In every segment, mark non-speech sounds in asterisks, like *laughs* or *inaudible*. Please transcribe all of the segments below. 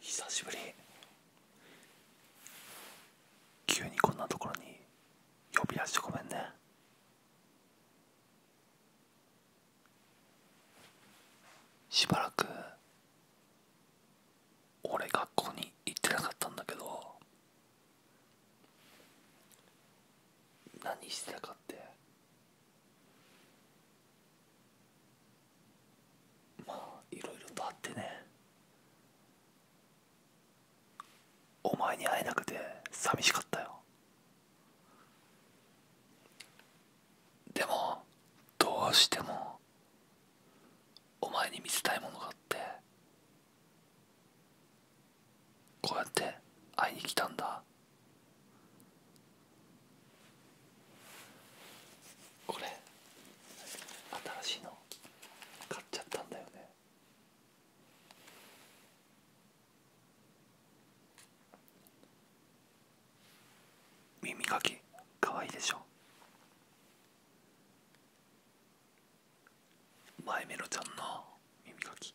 久しぶり急にこんなところに呼び出してごめんねしばらく俺学校に行ってなかったんだけど何してたかってまあいろいろとあってねお前に会えなくて寂しかったよでもどうしてもお前に見せたいものがあってこうやって会いに来たんだこれ新しいの買っちゃったんだよね耳かきかわいいでしょ前メロちゃんの耳かき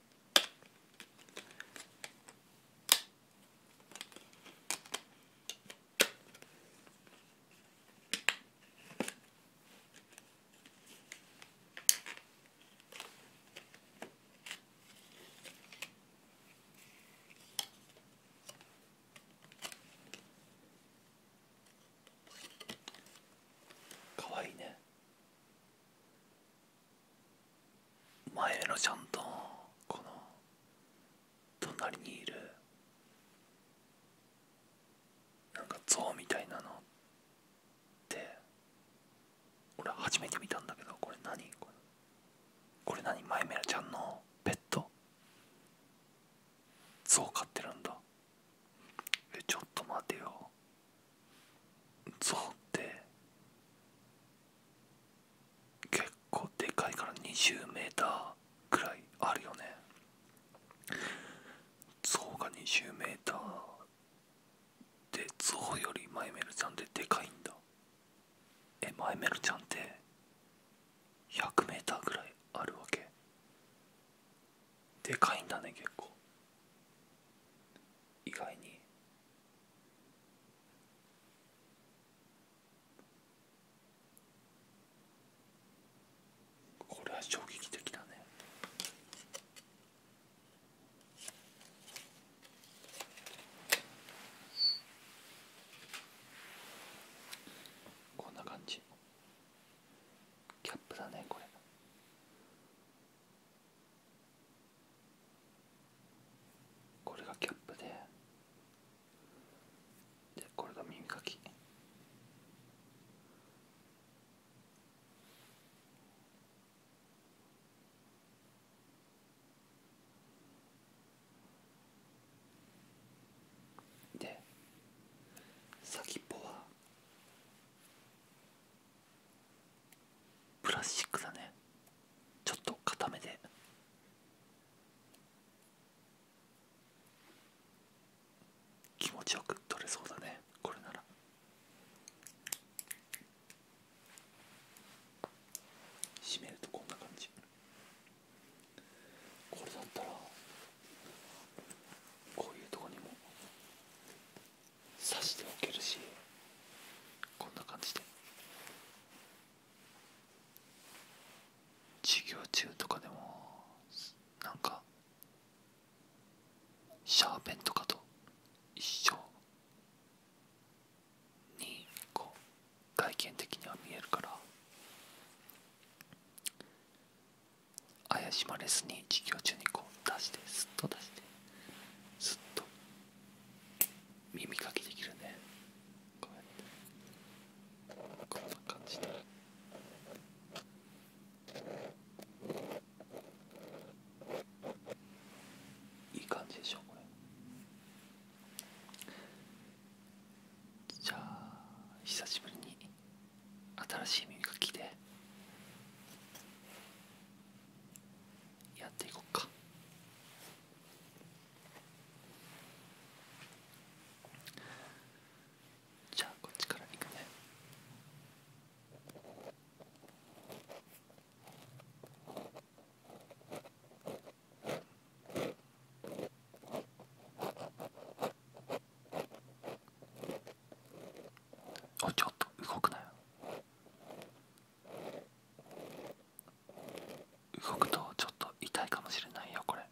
かわいいね前のちゃんとこの隣にいるなんか像みたいなのって俺初めて見たんだけどこれ何これ何マイメラちゃんのペット象飼ってるんだえちょっと待てよゾウって結構でかいから 20m くらいあるよねゾウが 20m でゾウよりマイメルちゃんってでかいんだえマイメルちゃんって100メーターぐらいあるわけでかいんだね結構意外にこれは衝撃的だねこんな感じキャップだねこれこれがキャップででこれが耳かきで先っぽはプラスチックだねちょっと固めで気持ちよく取れそうだねこれなら閉めるとこんな感じこれだったらこういうとこにも刺しておけるしこんな感じで授業中とかでもなんかシャーペンとかと一緒にこう外見的には見えるから怪しまれずに授業中にこう出してスッと出して。ずっと耳かきできるねこうやってこんな感じでいい感じでしょこれじゃあ久しぶりに新しい耳かきでやっていこうかじゃあこっちからいくねおちょっと動くなよ動くとちょっと痛いかもしれないよこれ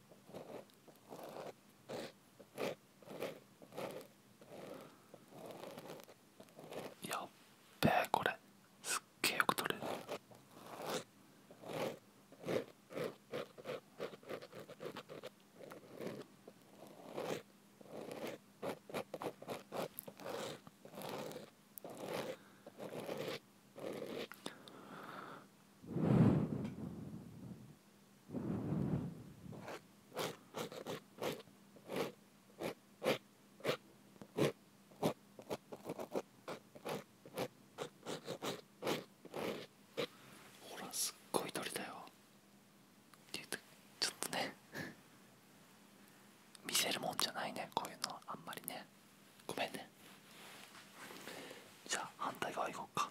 やっべえこれすっげえよく撮れるほらすっごい鳥だよちょっとね *laughs* 見せるもんじゃないねこういうのはあんまりねごめんねじゃあ反対側行こうか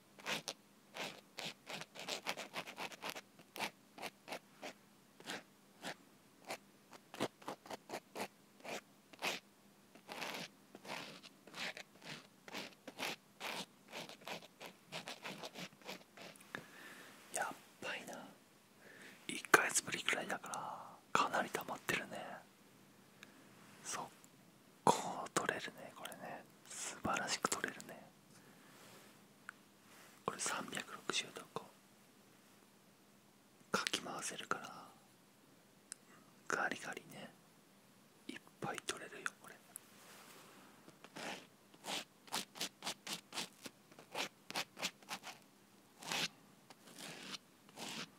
やっぱりな1ヶ月ぶりくらいだからかなり溜まってるね。っ。速攻取れるねこれね素晴らしく取れるねこれ360度こうかき回せるからガリガリねいっぱい取れるよこれ。うん。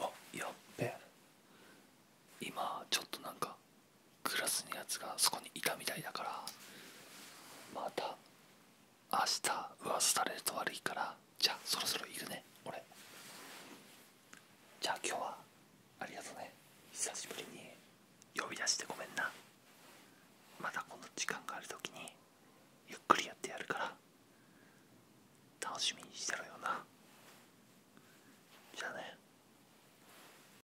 あやっべ今ちょっとなんかクラスのやつがそこにいたみたいだからまた明日噂されると悪いからじゃあそろそろいるね俺じゃあ今日はありがとうね久しぶりに呼び出してごめんなまたこの時間がある時にゆっくりやってやるから楽しみにしてろよなじゃあね